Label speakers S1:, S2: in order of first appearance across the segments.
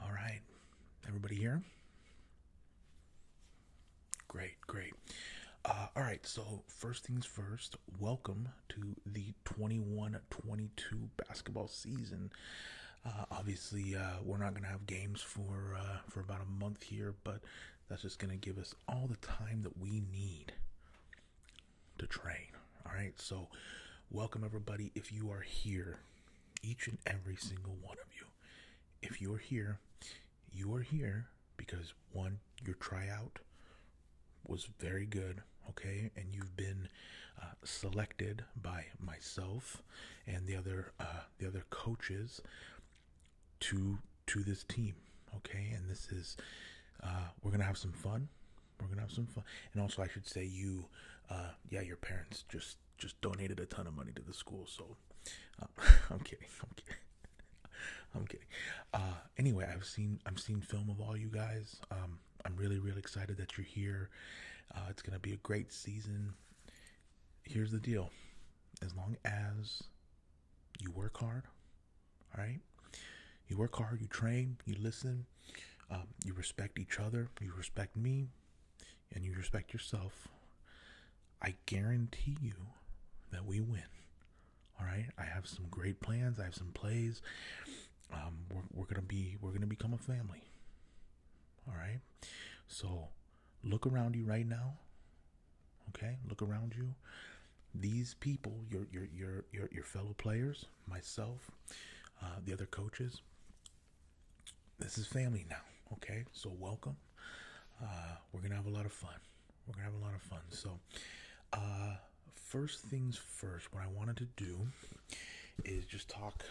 S1: All right. Everybody here? Great, great. Uh, all right, so first things first, welcome to the 21 22 basketball season. Uh, obviously, uh, we're not going to have games for, for about a month here, but that's just going to give us all the time that we need to train. All right, so welcome everybody. If you are here, each and every single one of you, if you're here, you are here because one, your tryout was very good, okay, and you've been uh, selected by myself and the other uh, the other coaches to to this team, okay, and this is uh, we're gonna have some fun. We're gonna have some fun, and also I should say you, uh, yeah, your parents just just donated a ton of money to the school. So uh, I'm kidding. I'm kidding. I'm kidding. Uh, anyway, I've seen I've seen film of all you guys. Um, I'm really really excited that you're here. Uh, it's gonna be a great season. Here's the deal: as long as you work hard, all right, you work hard, you train, you listen, um, you respect each other, you respect me, and you respect yourself, I guarantee you that we win. All right, I have some great plans. I have some plays. Um, we're, gonna be we're gonna become a family. All right, so look around you right now. Okay, look around you. These people, your your your your, your fellow players, myself, uh, the other coaches, this is family now. Okay, so welcome. Uh, we're gonna have a lot of fun. We're gonna have a lot of fun. So, uh, first things first, what I wanted to do is just talk,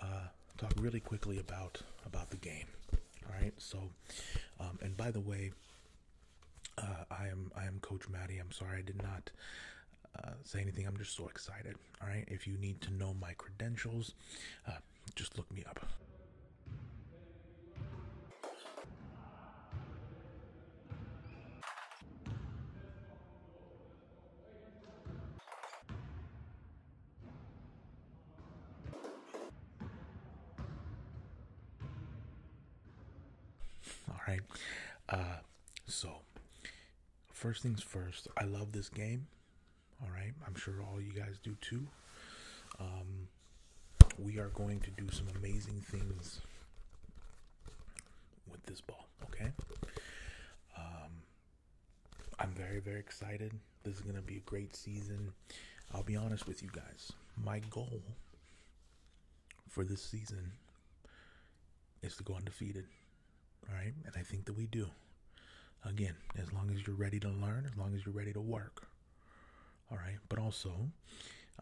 S1: uh, talk really quickly about about the game. All right. So, um, and by the way, I am I am Coach Maddie. I'm sorry I did not. say anything. I'm just so excited. All right, if you need to know my credentials, uh, just look me up. All right, uh, so first things first, I love this game. All right, I'm sure all you guys do too. Um, we are going to do some amazing things with this ball. Okay. Um, I'm very, very excited. This is going to be a great season. I'll be honest with you guys. My goal for this season is to go undefeated. All right. And I think that we do. Again, as long as you're ready to learn, as long as you're ready to work. All right. But also,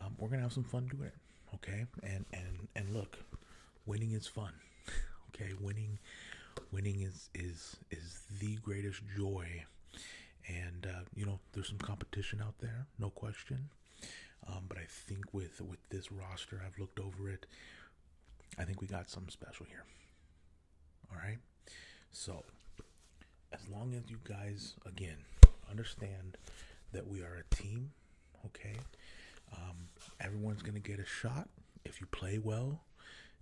S1: um, we're going to have some fun doing it. Okay. And, and, and look, winning is fun. okay. Winning, winning is, is, is the greatest joy. And, uh, you know, there's some competition out there, no question. Um, but I think with with this roster, I've looked over it. I think we got something special here. All right. So, as long as you guys, again, understand that we are a team, okay? Um, everyone's going to get a shot. If you play well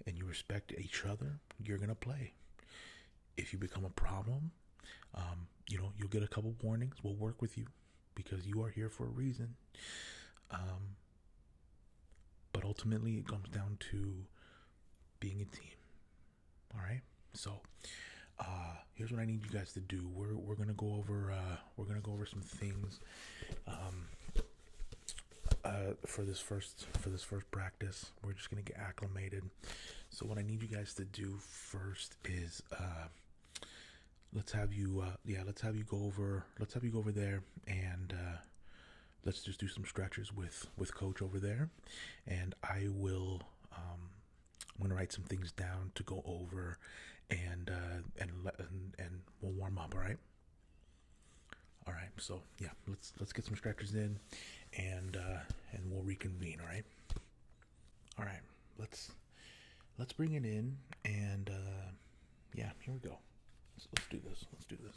S1: and you respect each other, you're going to play. If you become a problem, um, you know, you'll get a couple warnings. We'll work with you because you are here for a reason. Um, but ultimately, it comes down to being a team. All right. So, uh, here's what I need you guys to do. We're we're gonna go over uh, we're gonna go over some things. Um, uh, for this first for this first practice, we're just gonna get acclimated. So what I need you guys to do first is let's have you yeah let's have you go over let's have you go over there and let's just do some stretches with with coach over there and i will um, i'm gonna write some things down to go over and uh, and let and, and we'll warm up all right all right so yeah let's let's get some stretches in and uh and we'll reconvene all right all right let's let's bring it in and uh yeah, here we go. Let's, do this. Let's do this.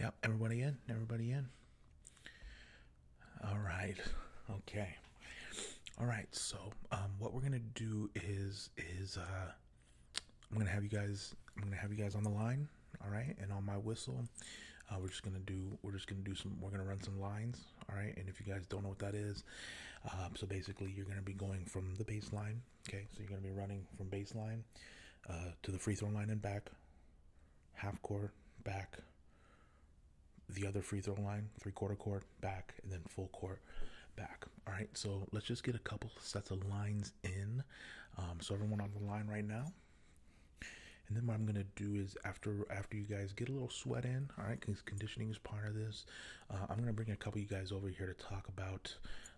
S1: Yep, everybody in. Everybody in. All right. Okay. All right. So, um, what we're gonna do is is uh, I'm gonna have you guys. I'm gonna have you guys on the line. All right, and on my whistle, uh, we're just gonna do. We're just gonna do some. We're gonna run some lines. All right, and if you guys don't know what that is, um, so basically you're gonna be going from the baseline. Okay, so you're gonna be running from baseline uh, to the free throw line and back, half court back, the other free throw line, three quarter court back, and then full court back. All right, so let's just get a couple sets of lines in. Um, so everyone on the line right now. And then what I'm gonna do is after after you guys get a little sweat in, all right, because conditioning is part of this. Uh, I'm gonna bring a couple of you guys over here to talk about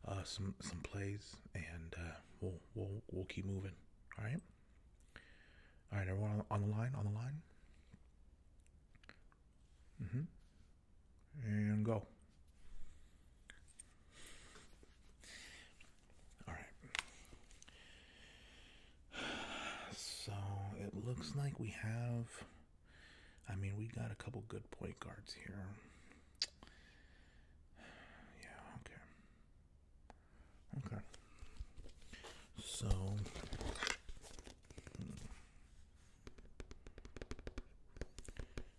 S1: uh, some some plays, and uh, we'll we'll we'll keep moving. All right, all right, everyone on, on the line, on the line. Mm-hmm. And go. All right. So it looks like we have I mean, we got a couple good point guards here. Yeah, okay. Okay. So. Hmm.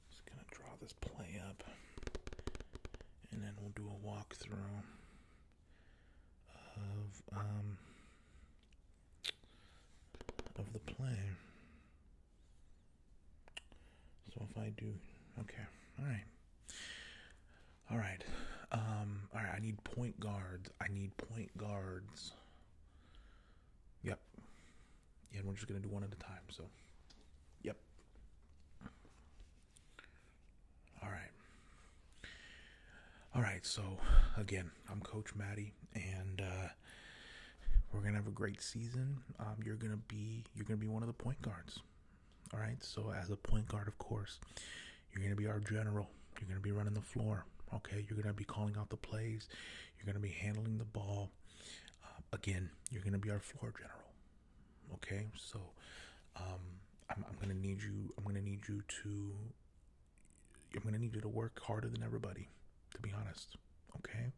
S1: Just gonna draw this play up. And then we'll do a walkthrough of, um of the play. So if I do, okay, all right, all right, um, all right. I need point guards. I need point guards. Yep. Yeah, and we're just gonna do one at a time. So, yep. All right. All right, so again, I'm Coach Maddie, and uh, we're gonna have a great season. Um, you're gonna be you're gonna be one of the point guards. All right, so as a point guard, of course, you're gonna be our general. You're gonna be running the floor. Okay, you're gonna be calling out the plays. You're gonna be handling the ball. Um, again, you're gonna be our floor general. Okay, so um, I'm gonna need you. I'm gonna need you to I'm gonna need you to work harder than everybody, to be honest. Okay,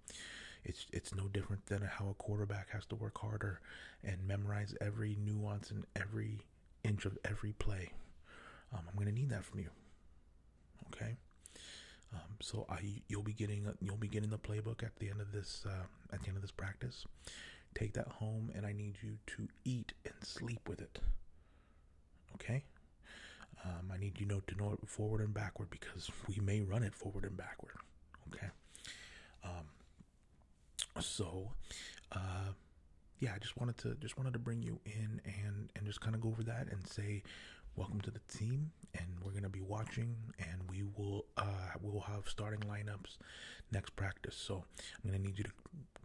S1: it's it's no different than how a quarterback has to work harder and memorize every nuance and every inch of every play. Um, I'm gonna need that from you. Okay, um, so I you'll be getting you'll be getting the playbook at the end of this uh, at the end of this practice. Take that home, and I need you to eat and sleep with it. Okay? Um, I need you know to know it forward and backward because we may run it forward and backward. Okay? Um, so, uh, yeah, I just wanted to just wanted to bring you in and and just kind of go over that and say welcome to the team and we're going to be watching and we will uh, we'll have starting lineups next practice. So, I'm going to need you to,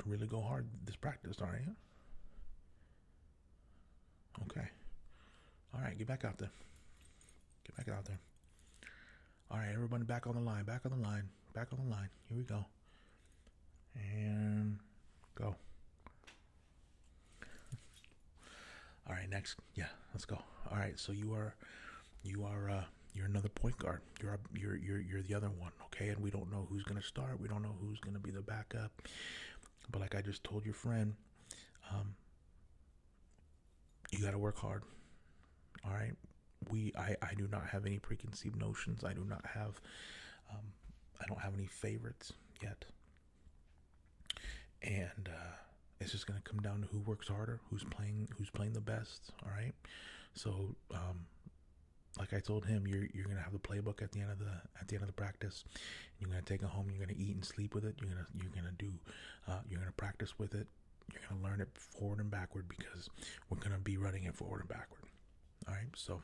S1: really go hard this practice, aren't you? Okay. All right, get back out there. Get back out there. All right, everybody back on the line, back on the line, back on the line. Here we go. And go. All right, next. Yeah, let's go. All right, so you are you are uh, you're another point guard. You're you're you're you're the other one okay? And we don't know who's going to start. We don't know who's going to be the backup. But like I just told your friend, um, you got to work hard. All right? We I I do not have any preconceived notions. I do not have um, I don't have any favorites yet. And uh, it's just going to come down to who works harder, who's playing who's playing the best, all right? So um, like I told him, you're you're gonna have the playbook at the end of the at the end of the practice. You're gonna take it home. You're gonna eat and sleep with it. You're gonna you're gonna do. Uh, you're gonna practice with it. You're gonna learn it forward and backward because we're gonna be running it forward and backward. All right. So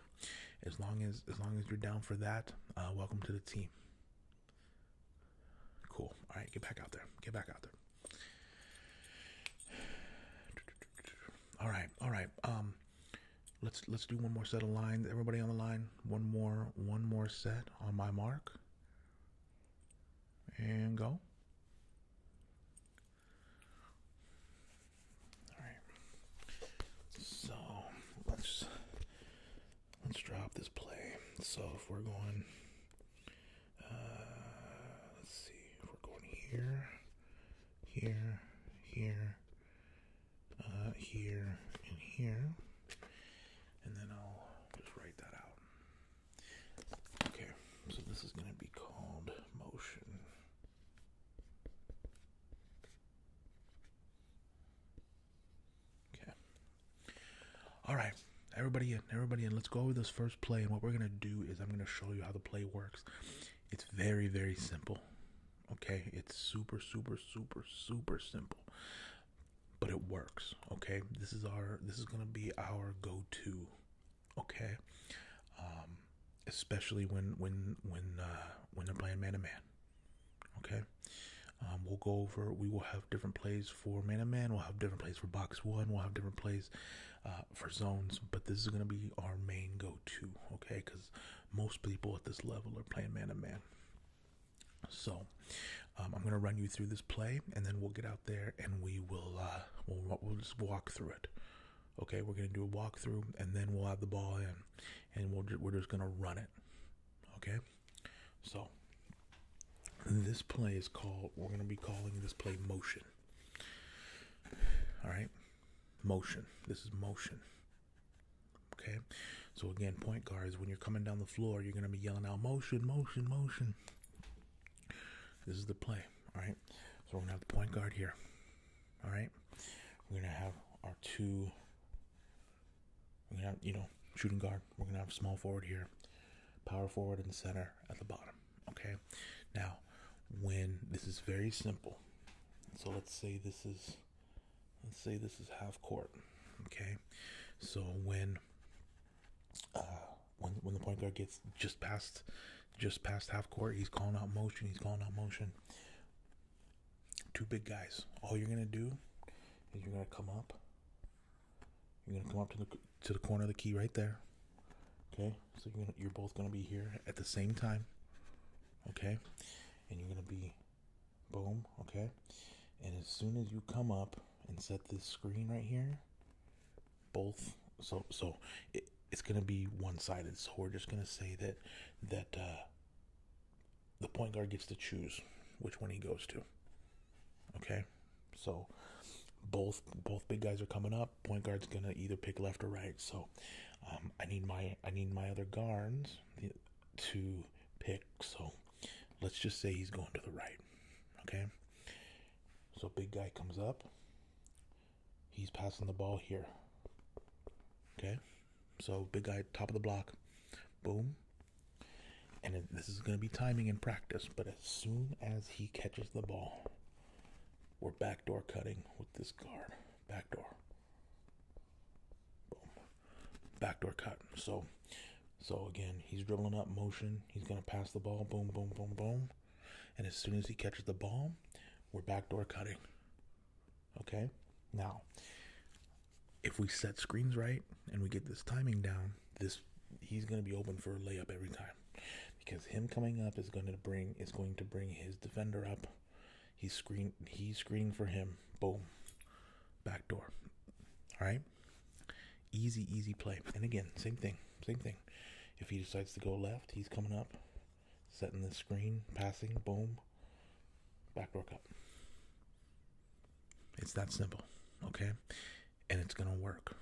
S1: as long as as long as you're down for that, uh, welcome to the team. Cool. All right. Get back out there. Get back out there. All right. All right. Um. Let's let's do one more set of lines. Everybody on the line. One more one more set on my mark. And go. All right. So, let's let's drop this play. So, if we're going uh, let's see. If we're going here, here, here, uh, here, and here. And then I'll just write that out. Okay, so this is going to be called motion. Okay. All right, everybody in, everybody in. Let's go over this first play. And what we're going to do is I'm going to show you how the play works. It's very, very simple. Okay, it's super, super, super, super simple, but it works. Okay, this is our this is gonna be our go-to. Okay, um, especially when when when uh, when they're playing man and man. Okay, um, we'll go over. We will have different plays for man and man. We'll have different plays for box one. We'll have different plays uh, for zones. But this is gonna be our main go-to. Okay, because most people at this level are playing man to man. So, um, I'm gonna run you through this play, and then we'll get out there and we will uh, we'll just walk through it. Okay, we're gonna do a walkthrough, and then we'll have the ball in, and we're just gonna run it. Okay, so this play is called. We're gonna be calling this play motion. All right, motion. This is motion. Okay. So again, point guard is when you're coming down the floor, you're gonna be yelling out motion, motion, motion. This is the play. All right. So we're gonna have the point guard here. All right. We're gonna have our two. We're gonna have you know shooting guard. We're gonna have small forward here, power forward and center at the bottom. Okay. Now when this is very simple. So let's say this is let's say this is half court. Okay. So when uh when when the point guard gets just past just past half court, he's calling out motion, he's calling out motion. Two big guys. All you're gonna do is you're gonna come up. You're gonna come up to the to the corner of the key right there. Okay, so you're, both going to be here at the same time. Okay? And you're going to be boom, okay? And as soon as you come up and set this screen right here, both so so it's going to be one-sided. So we're just going to say that that uh, the point guard gets to choose which one he goes to. Okay? So both both big guys are coming up. Point guard's gonna either pick left or right. So um, I need my I need my other guards to pick. So let's just say he's going to the right. Okay. So big guy comes up. He's passing the ball here. Okay. So big guy top of the block. Boom. And it, this is going to be timing and practice, but as soon as he catches the ball, we're backdoor cutting with this guard back door. Boom. Backdoor cut. So so again, he's dribbling up motion. He's gonna pass the ball. Boom, boom, boom, boom. And as soon as he catches the ball, we're backdoor cutting. Okay? Now, if we set screens right and we get this timing down, this he's going to be open for a layup every time because him coming up is going to bring is going to bring his defender up He's screen he's screening for him. Boom. Back door. Alright? Easy, easy play. And again, same thing. Same thing. If he decides to go left, he's coming up, setting the screen, passing, boom. back door cup. It's that simple. Okay? And it's gonna work.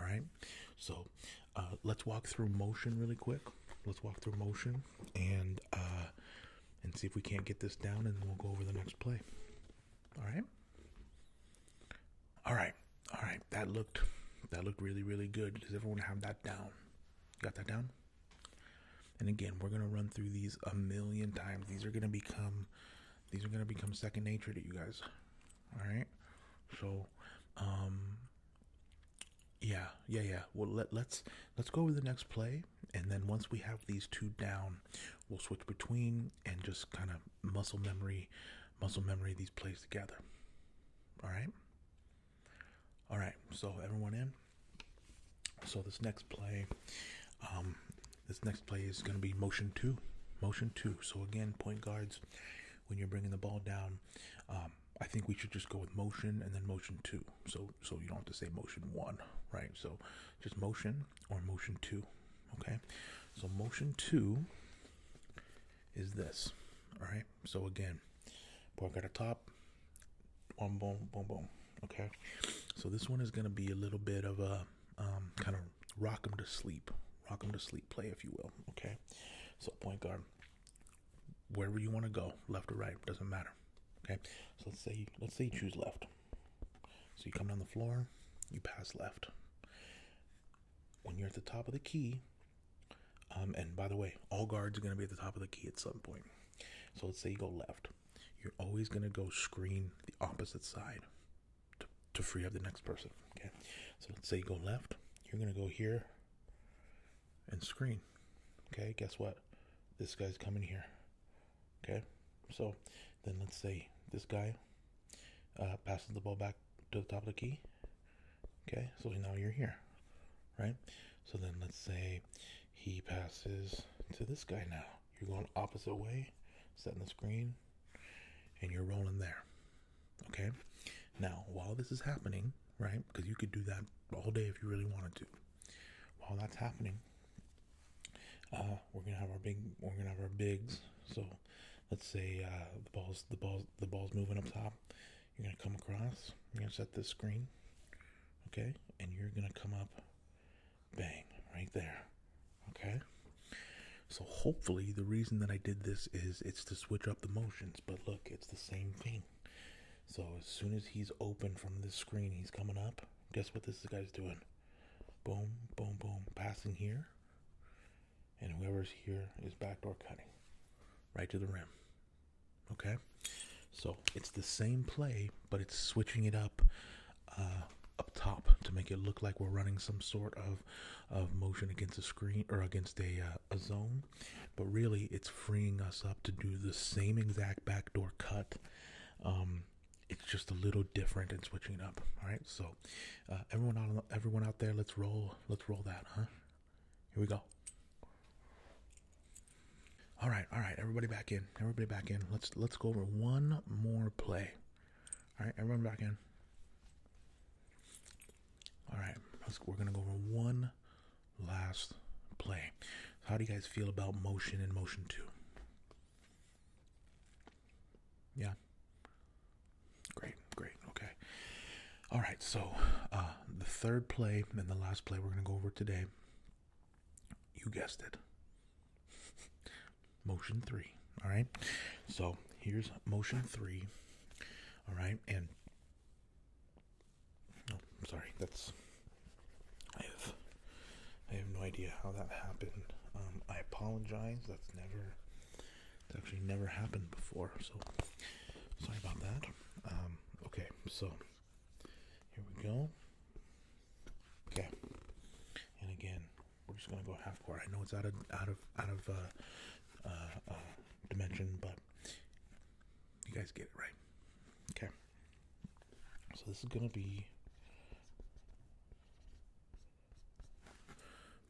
S1: All right. So uh, let's walk through motion really quick. Let's walk through motion and uh, and see if we can't get this down, and then we'll go over the next play. All right. All right. All right. That looked that looked really really good. Does everyone have that down? Got that down? And again, we're gonna run through these a million times. These are gonna become these are gonna become second nature to you guys. All right. So, um, yeah, yeah, yeah. Well, let let's let's go over the next play, and then once we have these two down, we'll switch between and just kind of muscle memory, muscle memory these plays together. All right. All right. So everyone in. So this next play, um, this next play is going to be motion two, motion two. So again, point guards, when you're bringing the ball down, um, I think we should just go with motion and then motion two. So so you don't have to say motion one, right? So just motion or motion two. Okay. So motion two is this. All right. So again, pork at the top, boom, boom, boom, boom. Okay. So this one is gonna be a little bit of a um, kind of rock them to sleep, rock them to sleep play, if you will. Okay. So point guard wherever you want to go, left or right, doesn't matter. Okay, so let's say let's say you choose left. So you come down the floor, you pass left. When you're at the top of the key, um, and by the way, all guards are going to be at the top of the key at some point. So let's say you go left. You're always going to go screen the opposite side to free up the next person. Okay. So let's say you go left. You're going to go here and screen. Okay, guess what? This guy's coming here. Okay, so then let's say this guy uh, passes the ball back to the top of the key. Okay, so now you're here, right? So then let's say he passes to this guy now. You're going opposite way, setting the screen, and you're rolling there. Okay. Now, while this is happening, right? Because you could do that all day if you really wanted to. While that's happening, uh, we're gonna have our big, we're gonna have our bigs. So, let's say uh, the balls, the balls, the balls moving up top. You're gonna come across. You're gonna set this screen, okay? And you're gonna come up, bang, right there, okay? So hopefully the reason that I did this is it's to switch up the motions, but look, it's the same thing. So as soon as he's open from this screen, he's coming up. Guess what this guy's doing? Boom, boom, boom, passing here. And whoever's here is backdoor cutting right to the rim. Okay? So it's the same play, but it's switching it up uh, up top to make it look like we're running some sort of, of motion against a screen or against a uh, a, zone, but really it's freeing us up to do the same exact backdoor cut. Um, it's just a little different and switching up. All right, so uh, everyone out, everyone out there, let's roll, let's roll that, huh? Here we go. All right, all right, everybody back in, everybody back in. Let's let's go over one more play. All right, everyone back in. alright let's, we're gonna go over one last play. How do you guys feel about motion and motion two? Yeah. Great, great. Okay. All right. So uh, the third play and the last play we're going to go over today. You guessed it. motion three. All right. So here's motion three. All right. And Oh, sorry, that's. I have. I have no idea how that happened. Um, I apologize. That's never. It's actually never happened before. So, sorry about that. Um, okay, so here we go. Okay, and again, we're just gonna go half quart. I know it's out of out of out of uh, uh, uh dimension, but you guys get it right. Okay. So this is gonna be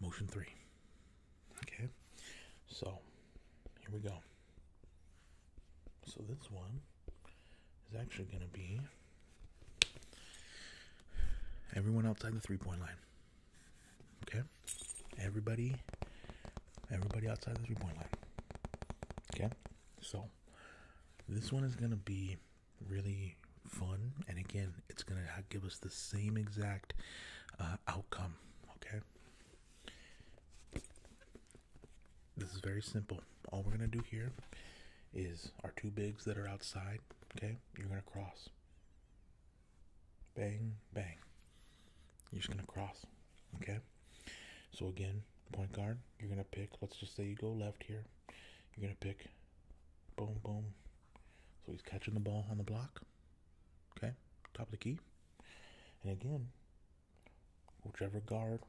S1: motion three. Okay. So here we go. So this one is actually gonna be everyone outside the three point line. Okay? Everybody everybody outside the three point line. Okay? So this one is gonna be really fun and again it's gonna give us the same exact uh, outcome okay this is very simple all we're gonna do here is our two bigs that are outside okay you're gonna cross Bang, bang. You're just gonna cross. Okay. So again, point guard, you're gonna pick, let's just say you go left here. You're gonna pick boom boom. So he's catching the ball on the block. Okay, top of the key. And again, whichever guard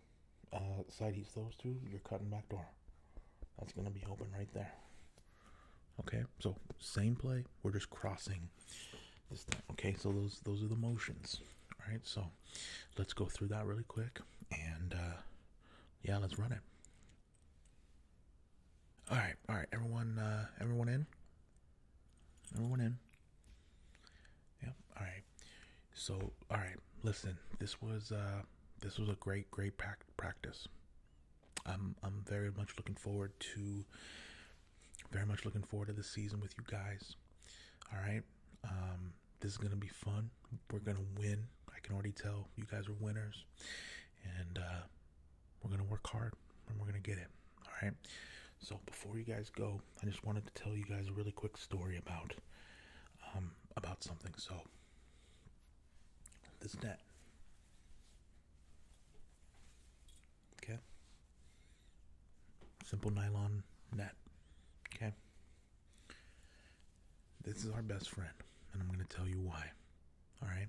S1: uh, side he's throws to, you're cutting back door. That's gonna be open right there. Okay, so same play. We're just crossing Okay, so those those are the motions. All right, so let's go through that really quick, and uh, yeah, let's run it. All right, all right, everyone, uh, everyone in, everyone in. Yep. All right. So, all right, listen. This was uh, this was a great, great practice. I'm I'm very much looking forward to very much looking forward to the season with you guys. All right. Um, this is going to be fun. We're going to win. I can already tell you guys are winners. And uh, we're going to work hard and we're going to get it. All right. So before you guys go, I just wanted to tell you guys a really quick story about um, about something. So this debt. Okay. Simple nylon net. Okay. This is our best friend, and I'm going to tell you why. All right.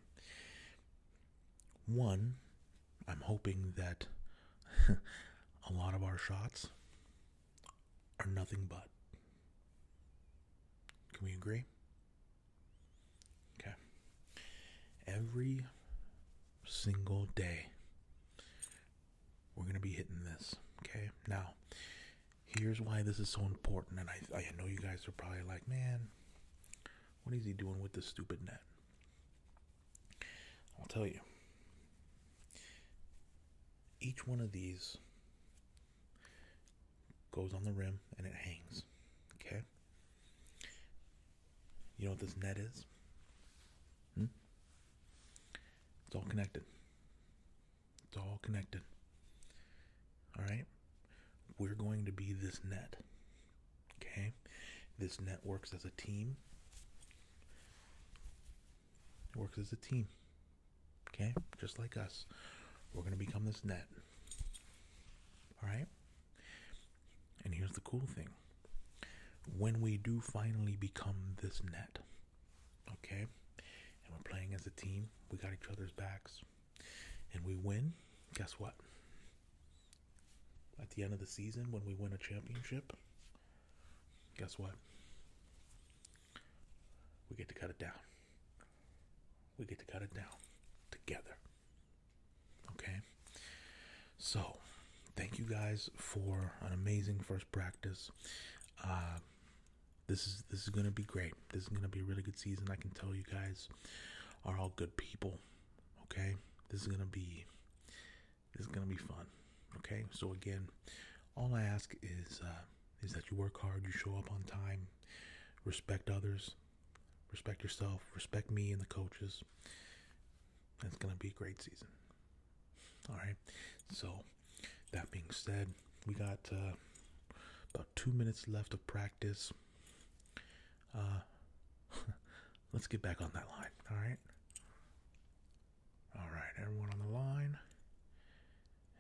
S1: One, I'm hoping that a lot of our shots are nothing but. Can we agree? Okay. Every single day, we're going to be hitting this. Okay. Now, here's why this is so important. And I, I know you guys are probably like, man, what is he doing with this stupid net? I'll tell you. Each one of these goes on the rim and it hangs. Okay? You know what this net is? Hmm? It's all connected. It's all connected. All right? We're going to be this net. Okay? This net works as a team. works as a team. Okay? Just like us. We're going to become this net. All right? And here's the cool thing when we do finally become this net, okay, and we're playing as a team, we got each other's backs, and we win, guess what? At the end of the season, when we win a championship, guess what? We get to cut it down. We get to cut it down together. Okay. So, thank you guys for an amazing first practice. Uh, this is this is gonna be great. This is gonna be a really good season. I can tell you guys are all good people. Okay, this is gonna be this is gonna be fun. Okay, so again, all I ask is uh, is that you work hard, you show up on time, respect others, Respect yourself, respect me and the coaches. it's going to be a great season. All right. So, that being said, we got uh, about two minutes left of practice. Uh, let's get back on that line. All right. All right. Everyone on the line.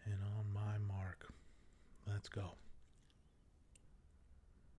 S1: And on my mark. Let's go.